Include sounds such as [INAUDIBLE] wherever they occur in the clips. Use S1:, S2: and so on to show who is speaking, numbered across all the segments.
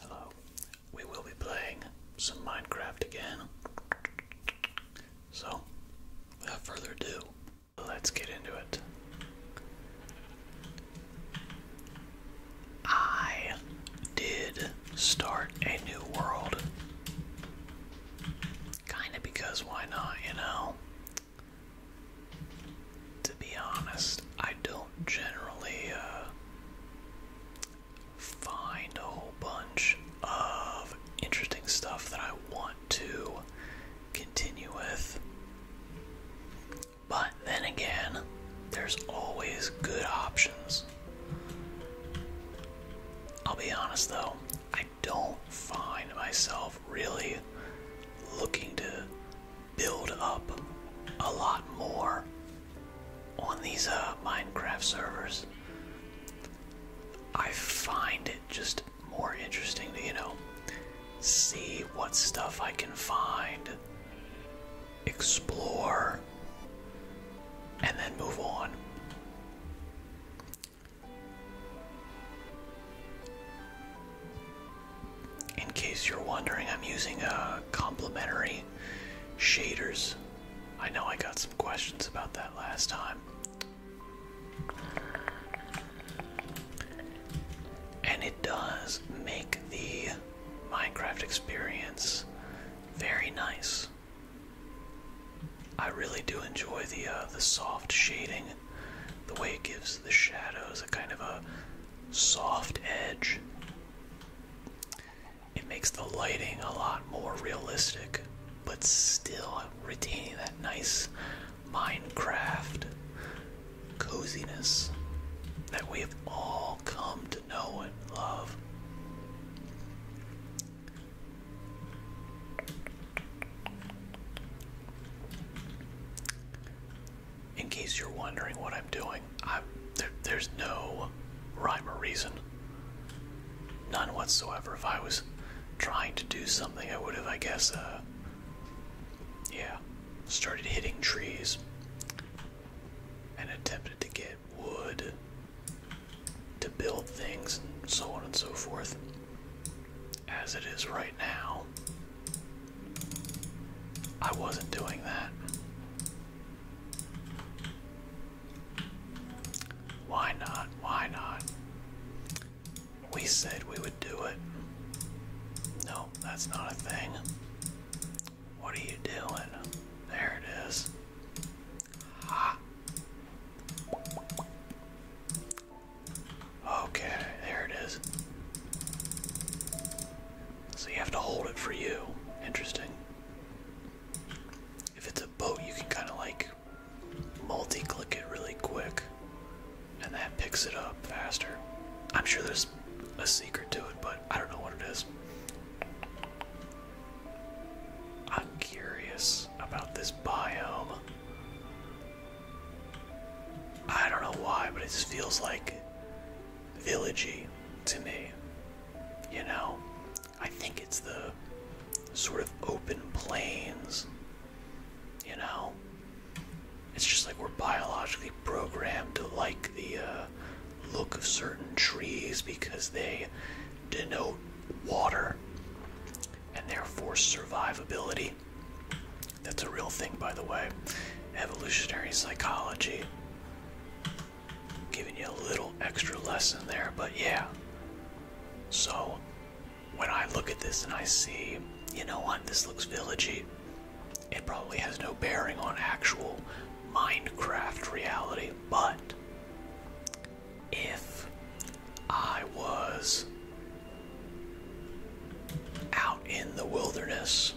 S1: Hello. We will be playing some Minecraft again. So, without further ado, let's get into it. I did start a new world. Kinda because why not, you know? to be honest, I don't generally uh, find a whole bunch of interesting stuff that I want to continue with. But then again, there's always good options. I'll be honest though, I don't find myself really looking to build up a lot more on these uh, Minecraft servers. I find it just more interesting to, you know, see what stuff I can find, explore, and then move on in case you're wondering, I'm using uh, complementary shaders. I know I got some questions about that last time. And it does make the Minecraft experience very nice. I really do enjoy the uh, the soft shading, the way it gives the shadows a kind of a soft edge. It makes the lighting a lot more realistic, but still retaining that nice Minecraft coziness that we have all come to know and love in case you're wondering what I'm doing, i there's no rhyme or reason. None whatsoever. If I was trying to do something, I would have, I guess, uh, yeah, started hitting trees and attempted to get wood to build things and so on and so forth. As it is right now, I wasn't doing that. Why not? Why not? We said we would do it. No, that's not a thing. What are you doing? There it is. Ha! Okay, there it is. So you have to hold it for you. Interesting. If it's a boat, you can kind of like multi click it really quick, and that picks it up faster. I'm sure there's a secret to it, but I don't know what it is. I'm curious about this biome. I don't know why, but it just feels like villagey to me. You know, I think it's the sort of open plains. You know, it's just like we're biologically programmed to like the uh, look of certain trees because they denote water and therefore survivability. That's a real thing, by the way. Evolutionary psychology. Giving you a little extra lesson there, but yeah. So, when I look at this and I see, you know what, this looks villagey, it probably has no bearing on actual Minecraft reality, but if I was out in the wilderness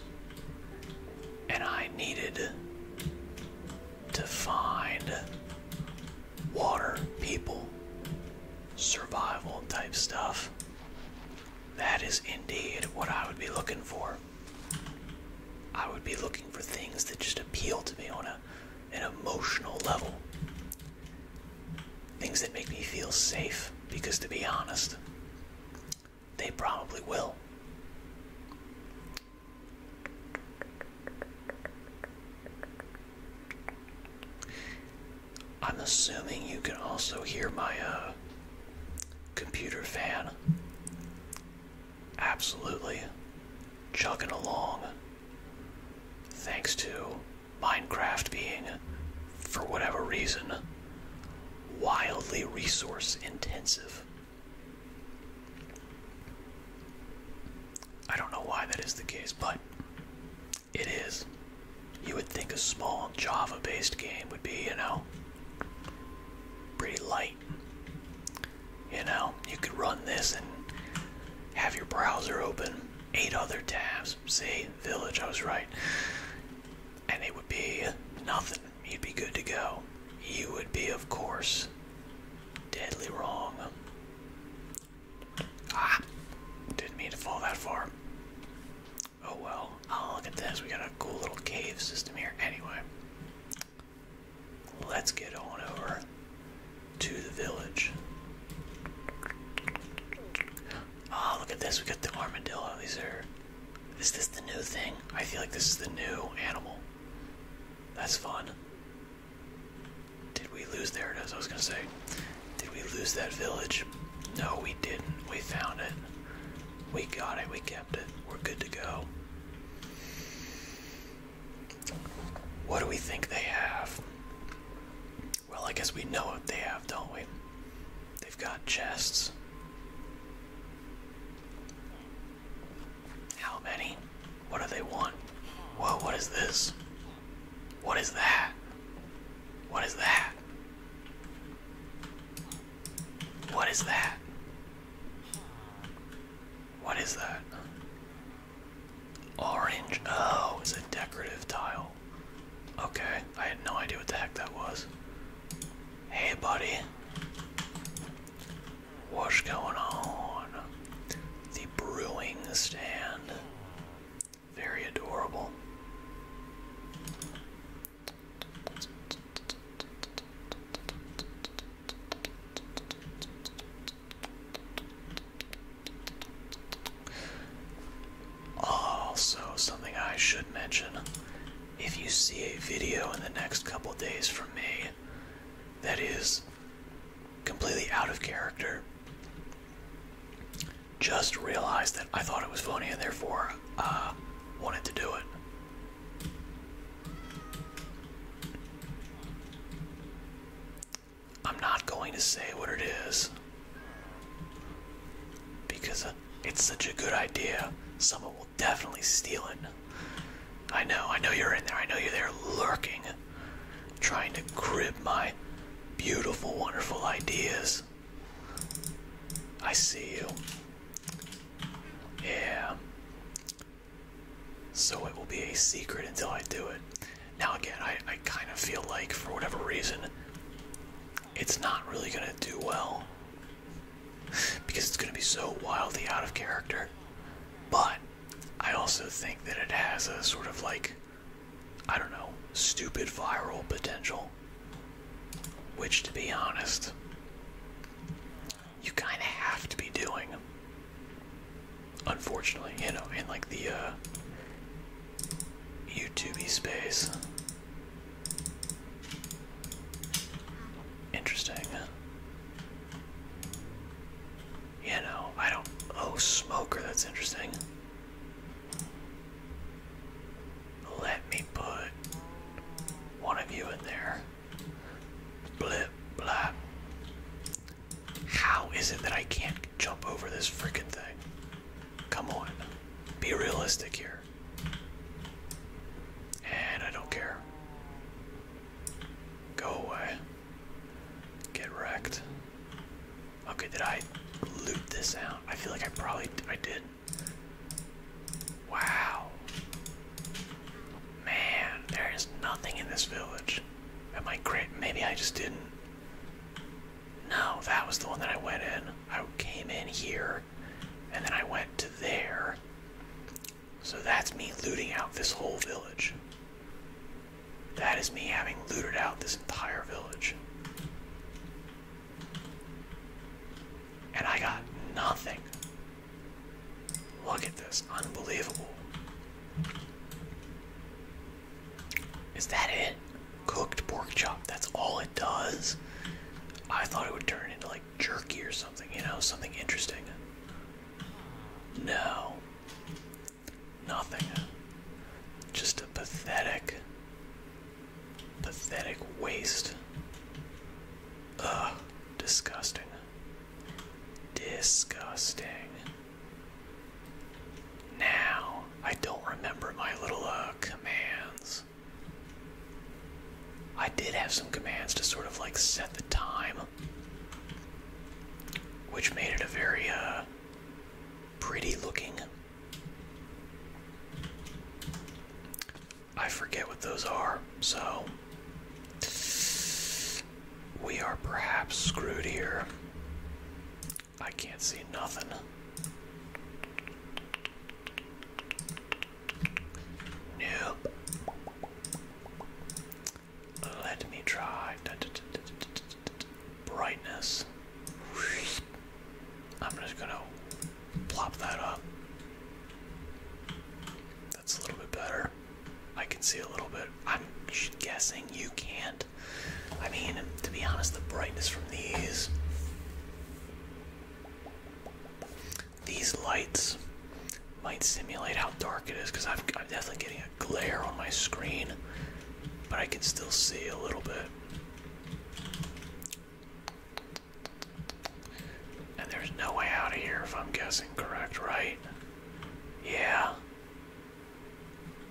S1: and I needed to find water, people, survival type stuff. That is indeed what I would be looking for. I would be looking for things that just appeal to me on a, an emotional level. Things that make me feel safe, because to be honest, they probably will. I'm assuming you can also hear my uh, computer fan. Absolutely chugging along. Thanks to Minecraft being, for whatever reason, wildly resource intensive. I don't know why that is the case, but it is. You would think a small Java based game would be, you know, pretty light. You know, you could run this and have your browser open eight other tabs. See, Village, I was right and it would be nothing. You'd be good to go. You would be, of course, deadly wrong. Ah! Didn't mean to fall that far. Oh well. Oh, look at this. We got a cool little cave system here. Anyway, let's get on over to the village. Oh, look at this. We got the armadillo. These are. Is this the new thing? I feel like this is the new animal. That's fun. Did we lose? There it is. I was going to say. Did we lose that village? No, we didn't. We found it. We got it. We kept it. We're good to go. What do we think they have? Well, I guess we know what they have, don't we? They've got chests. How many? What do they want? Whoa, what is this? What is that? What is that? What is that? What is that? Orange. Oh, it's a decorative tile. Okay, I had no idea what the heck that was. Hey, buddy. What's going on? The brewing stand. Very adorable. Also, something I should mention if you see a video in the next couple days from me that is completely out of character, just realize that I thought it was funny and therefore uh, wanted to do it. I'm not going to say what it is because uh, it's such a good idea. Someone will definitely steal it. I know, I know you're in there. I know you're there lurking, trying to crib my beautiful, wonderful ideas. I see you. Yeah. So it will be a secret until I do it. Now, again, I, I kind of feel like, for whatever reason, it's not really gonna do well because it's gonna be so wildly out of character. But I also think that it has a sort of like, I don't know, stupid viral potential. Which, to be honest, you kind of have to be doing. Unfortunately, you know, in like the uh, YouTube space. Interesting. Yeah, no, I don't. Oh, smoker, that's interesting. Let me put one of you in there. Blip, blah. How is it that I can't jump over this freaking thing? Come on. Be realistic here. And I don't care. Go away. Get wrecked. Okay, did I loot this out? I feel like I probably I did. Wow. Man, there is nothing in this village. Am I great? Maybe I just didn't. No, that was the one that I went in. I came in here, and then I went to there. So that's me looting out this whole village. That is me having looted out this entire village. And I got nothing. Look at this. Unbelievable. Is that it? Cooked pork chop. That's all it does. I thought it would turn into like jerky or something, you know, something interesting. No. Nothing. Just a pathetic, pathetic waste. Ugh, disgusting. Disgusting. Now I don't remember my little uh, commands. I did have some commands to sort of like set the time, which made it a very uh, pretty looking. I forget what those are, so we are perhaps screwed here. I can't see nothing. Nope. Let me try brightness. I'm just gonna plop that up. That's a little bit better. I can see a little bit. I'm guessing you can't. I mean, to be honest, the brightness from these these lights might simulate how dark it is because I'm definitely getting a glare on my screen, but I can still see a little bit. And there's no way out of here if I'm guessing correct, right? Yeah.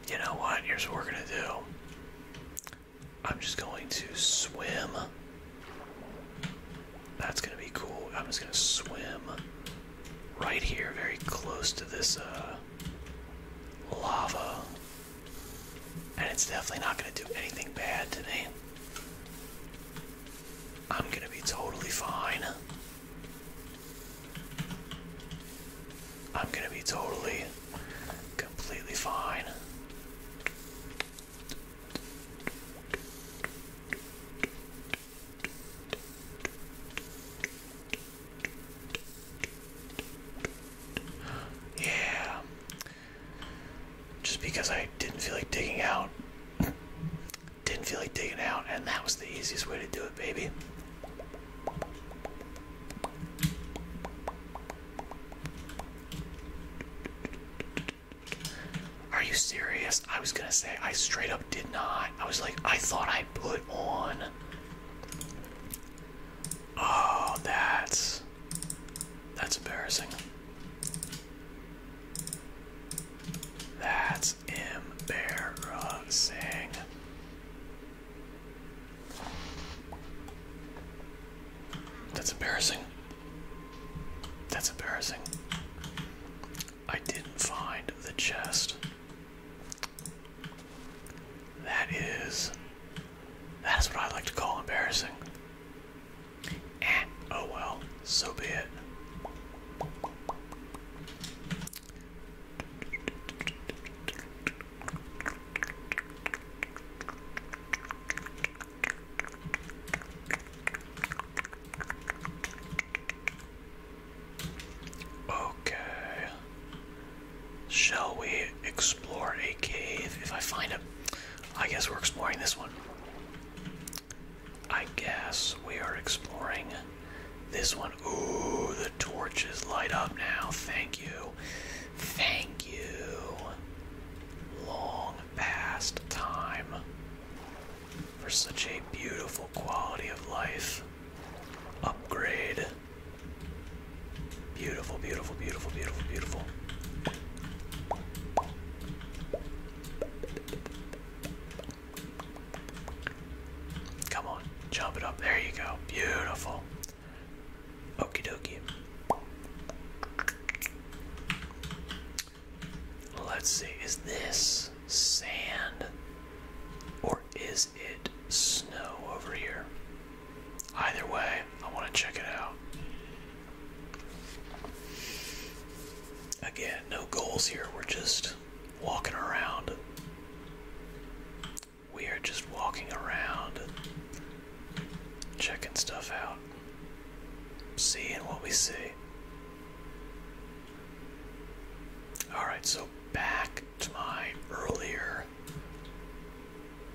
S1: You know what? Here's what we're gonna do. I'm just going to swim. That's going to be cool. I'm just going to swim right here, very close to this uh, lava. And it's definitely not going to do anything bad to me. I'm going to be totally fine. I'm gonna be totally, completely fine. Yeah. Just because I didn't feel like digging out. Didn't feel like digging out, and that was the easiest way to do it, baby. Are you serious? I was gonna say, I straight up did not. I was like, I thought I put on. Oh, that's. That's embarrassing. That's embarrassing. That's embarrassing. That's embarrassing. I didn't find the chest. That is. That is what I like to call embarrassing. oh well, so be it. Okay. Shall we explore a cave if I find it? I guess we're exploring this one. I guess we are exploring this one. Ooh, the torches light up now. Thank you. Thank you. Long past time for such a beautiful quality of life. Upgrade. Beautiful, beautiful, beautiful, beautiful, beautiful. Come on, jump it up. There you go. Beautiful. Okie dokie. Let's see, is this sand or is it snow over here? Either way, I want to check it out. Again, no goals here, we're just walking around we are just walking around checking stuff out, seeing what we see. Alright, so back to my earlier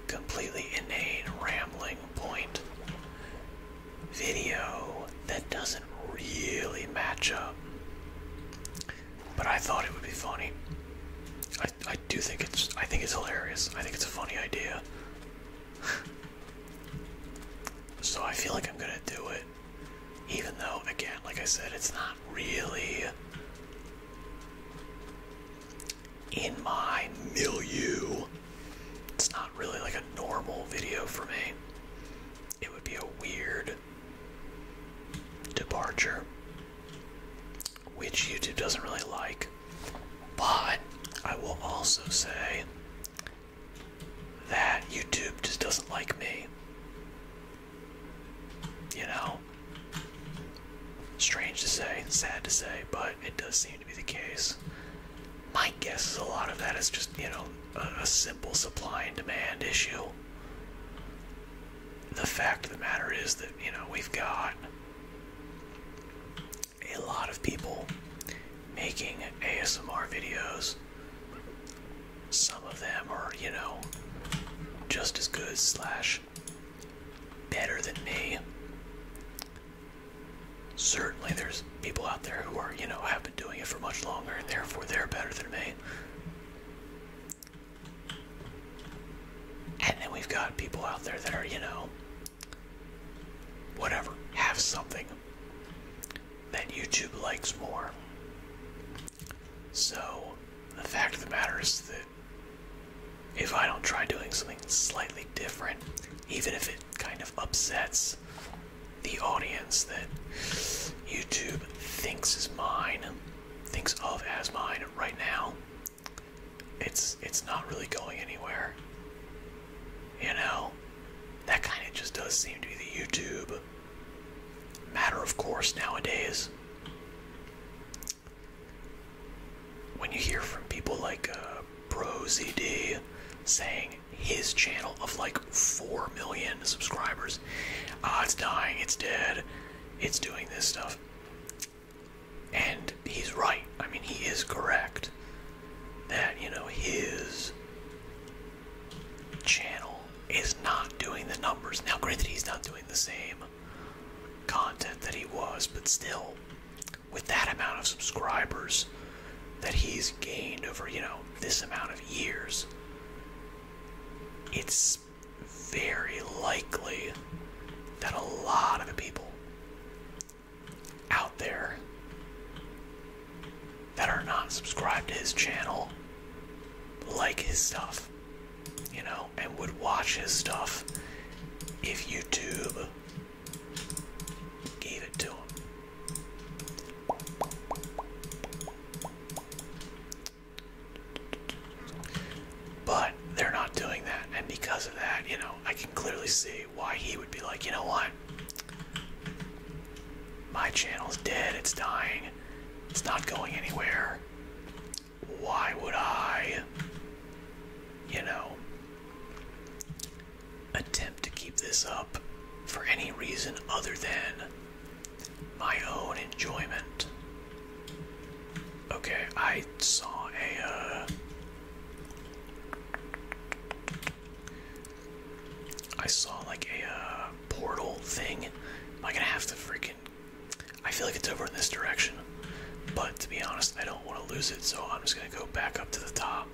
S1: completely inane rambling point video that doesn't really match up but I thought it would be funny. I I do think it's I think it's hilarious. I think it's a funny idea. [LAUGHS] so I feel like I'm gonna do it. Even though again, like I said, it's not really in my milieu. It's not really like a normal video for me. It would be a weird departure which YouTube doesn't really like. But I will also say that YouTube just doesn't like me. You know? Strange to say, sad to say, but it does seem to be the case. My guess is a lot of that is just, you know, a, a simple supply and demand issue the fact of the matter is that, you know, we've got a lot of people making ASMR videos. Some of them are, you know, just as good slash better than me. Certainly there's people out there who are, you know, have been doing it for much longer and therefore they're better than me. And then we've got people out there that are, you know, whatever, have something that YouTube likes more. So, the fact of the matter is that if I don't try doing something slightly different, even if it kind of upsets the audience that YouTube thinks is mine, thinks of as mine right now, it's it's not really going anywhere. You know, that kind of just does seem to be the YouTube matter of course nowadays. When you hear from people like uh, saying his channel of like 4 million subscribers, ah, it's dying, it's dead, it's doing this stuff. And he's right. I mean, he is correct that, you know, his channel is not doing the numbers. Now, granted, he's not doing the same content that he was, but still, with that amount of subscribers that he's gained over, you know, this amount of years, it's very likely that a lot of the people out there that are not subscribed to his channel like his stuff, you know, and would watch his stuff if YouTube gave it to him. But they're not doing that, and because of that, you know, I can clearly see why he would be like, you know what? My channel's dead, it's dying, it's not going anywhere. Why would I, you know, attempt to keep this up for any reason other than my own enjoyment. Okay, I saw a. Uh, I saw like a uh, portal thing. Am I gonna have to freaking? I feel like it's over in this direction, but to be honest, I don't want to lose it, so I'm just gonna go back up to the top.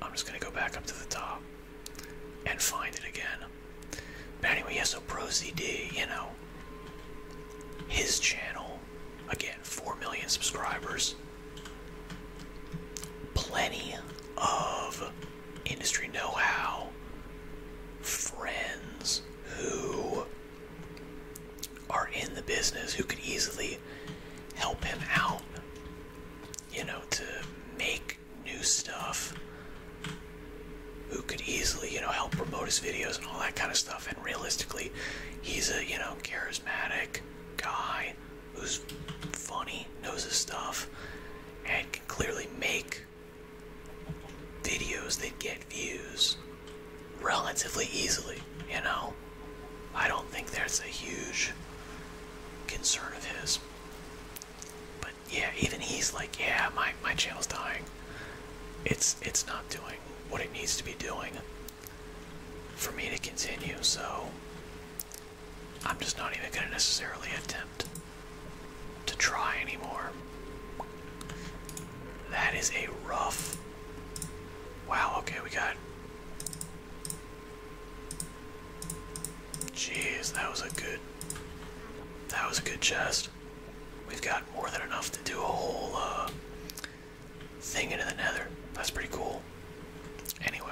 S1: I'm just gonna go back up to the top and find it again. But anyway, yeah, so Pro ZD, you know, his channel, again, 4 million subscribers, plenty of industry know how, friends who are in the business who could easily help him out, you know, to make new stuff who could easily, you know, help promote his videos and all that kind of stuff. And realistically, he's a, you know, charismatic guy who's funny, knows his stuff, and can clearly make videos that get views relatively easily, you know? I don't think there's a huge concern of his. But yeah, even he's like, yeah, my my channel's dying. It's it's not doing what it needs to be doing for me to continue. So I'm just not even gonna necessarily attempt to try anymore. That is a rough. Wow. Okay, we got. Jeez, that was a good that was a good chest. We've got more than enough to do a whole uh, thing into the nether. That's pretty cool. Anyway.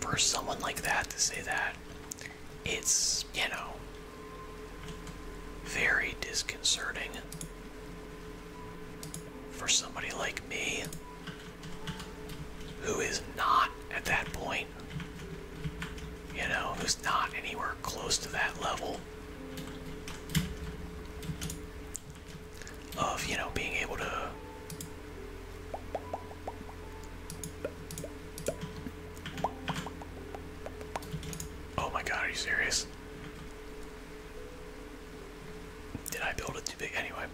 S1: For someone like that to say that, it's, you know, very disconcerting. For somebody like me who is not at that point, you know, who's not anywhere close to that level of, you know, being able to Oh my god, are you serious? did I build it too big? Anyway,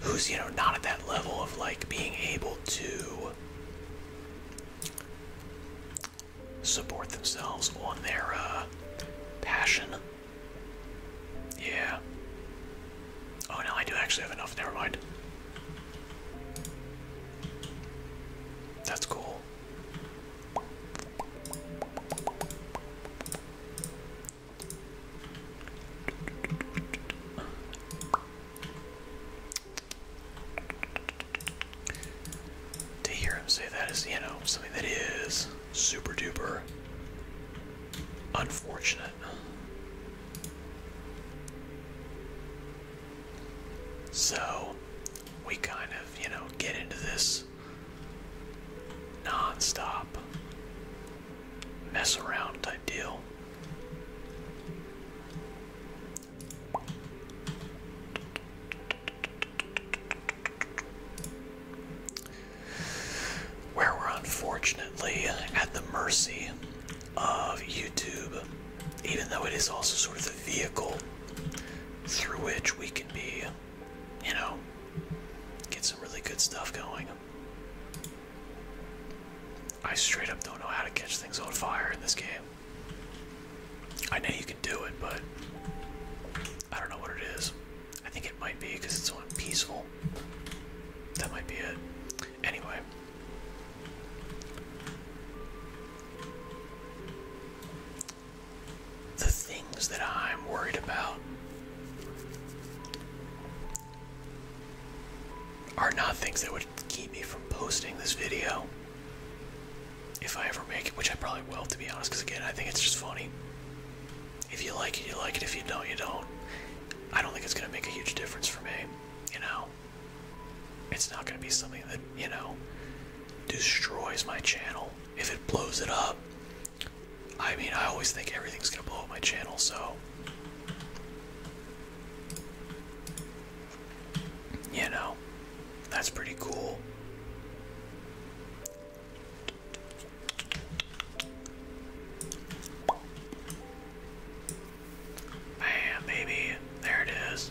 S1: who's, you know, not at that level of like being able to support themselves on their uh, passion. Yeah. Oh, now I do actually have enough. Never mind. That's cool. To hear him say that is, you know, something that is super duper unfortunate. So, we kind of, you know, get into this non stop mess around type deal. Where we're unfortunately at the mercy of YouTube, even though it is also sort of the vehicle through which we can be, you know, get some really good stuff going. I straight up don't know how to catch things on fire in this game. I know you can do it, but I don't know what it is. I think it might be because it's on peaceful. That might be it. Anyway. The things that I'm worried about are not things that would keep me from posting this video if I ever make it, which I probably will, to be honest, because again, I think it's just funny. If you like it, you like it. If you don't, you don't. I don't think it's going to make a huge difference for me, you know? It's not going to be something that, you know, destroys my channel. If it blows it up, I mean, I always think everything's gonna blow up my channel, so. You know, that's pretty cool. Bam, baby. There it is.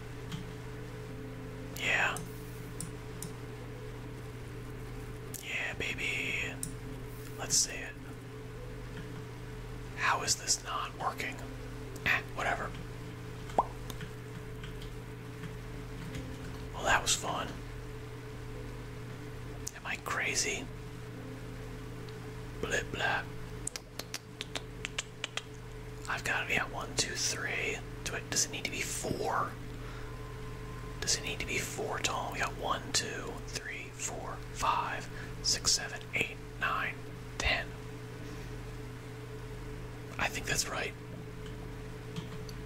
S1: Yeah. Yeah, baby. Let's see it. How is this not working? Eh, whatever. Well, that was fun. Am I crazy? Blah blah. I've got to be at one, two, three. it? Does it need to be four? Does it need to be four tall? We got one, two, three, four, five, six, seven, eight, nine, ten. I think that's right.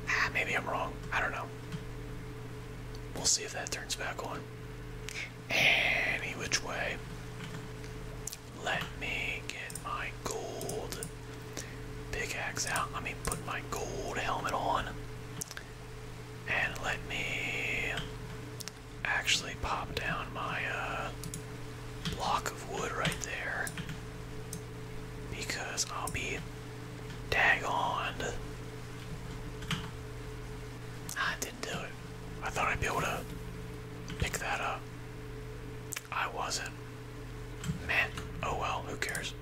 S1: Ah, maybe I'm wrong. I don't know. We'll see if that turns back on. Any which way. Let me get my gold pickaxe out. Let me put my gold helmet on. And let me actually pop down my uh, block of wood right there. Because I'll be on. I didn't do it. I thought I'd be able to pick that up. I wasn't. Man, oh well, who cares?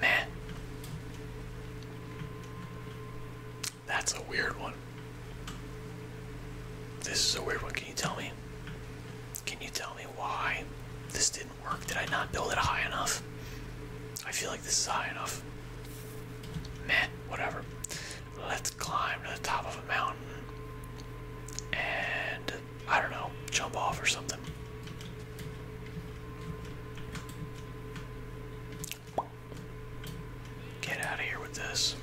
S1: Man. That's a weird one. This is a weird one. Can you tell me? Can you tell me why this didn't work? Did I not build it high enough? I feel like this is high enough. Man, whatever let's climb to the top of a mountain and I don't know, jump off or something. Get out of here with this.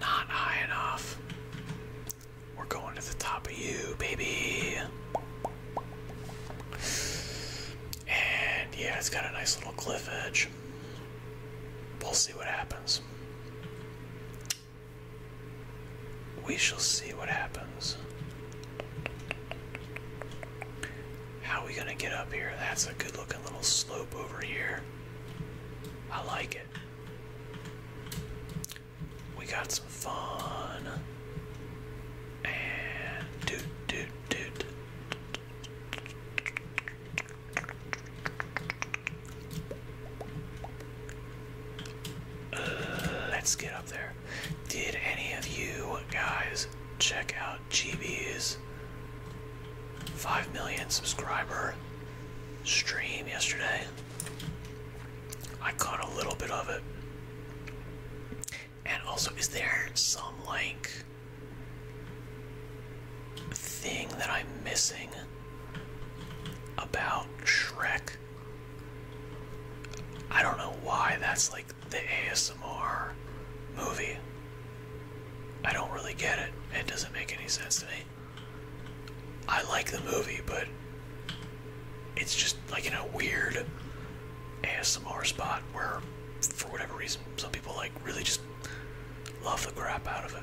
S1: Not high enough. We're going to the top of you, baby. And yeah, it's got a nice little cliff edge. We'll see what happens. We shall see what happens. How are we gonna get up here? That's a good looking little slope over here. I like it. We got some fun. And uh, let's get up there. Did any of you guys check out GB's 5 million subscriber stream yesterday? I caught a little bit of it. And also, is there some like thing that I'm missing about Shrek? I don't know why that's like the ASMR movie. I don't really get it. It doesn't make any sense to me. I like the movie, but it's just like in a weird ASMR spot where, for whatever reason, some people like really just love the crap out of it.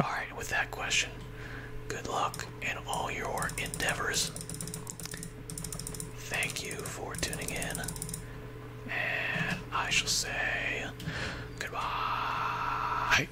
S1: Alright, with that question, good luck in all your endeavors. Thank you for tuning in, and I shall say goodbye.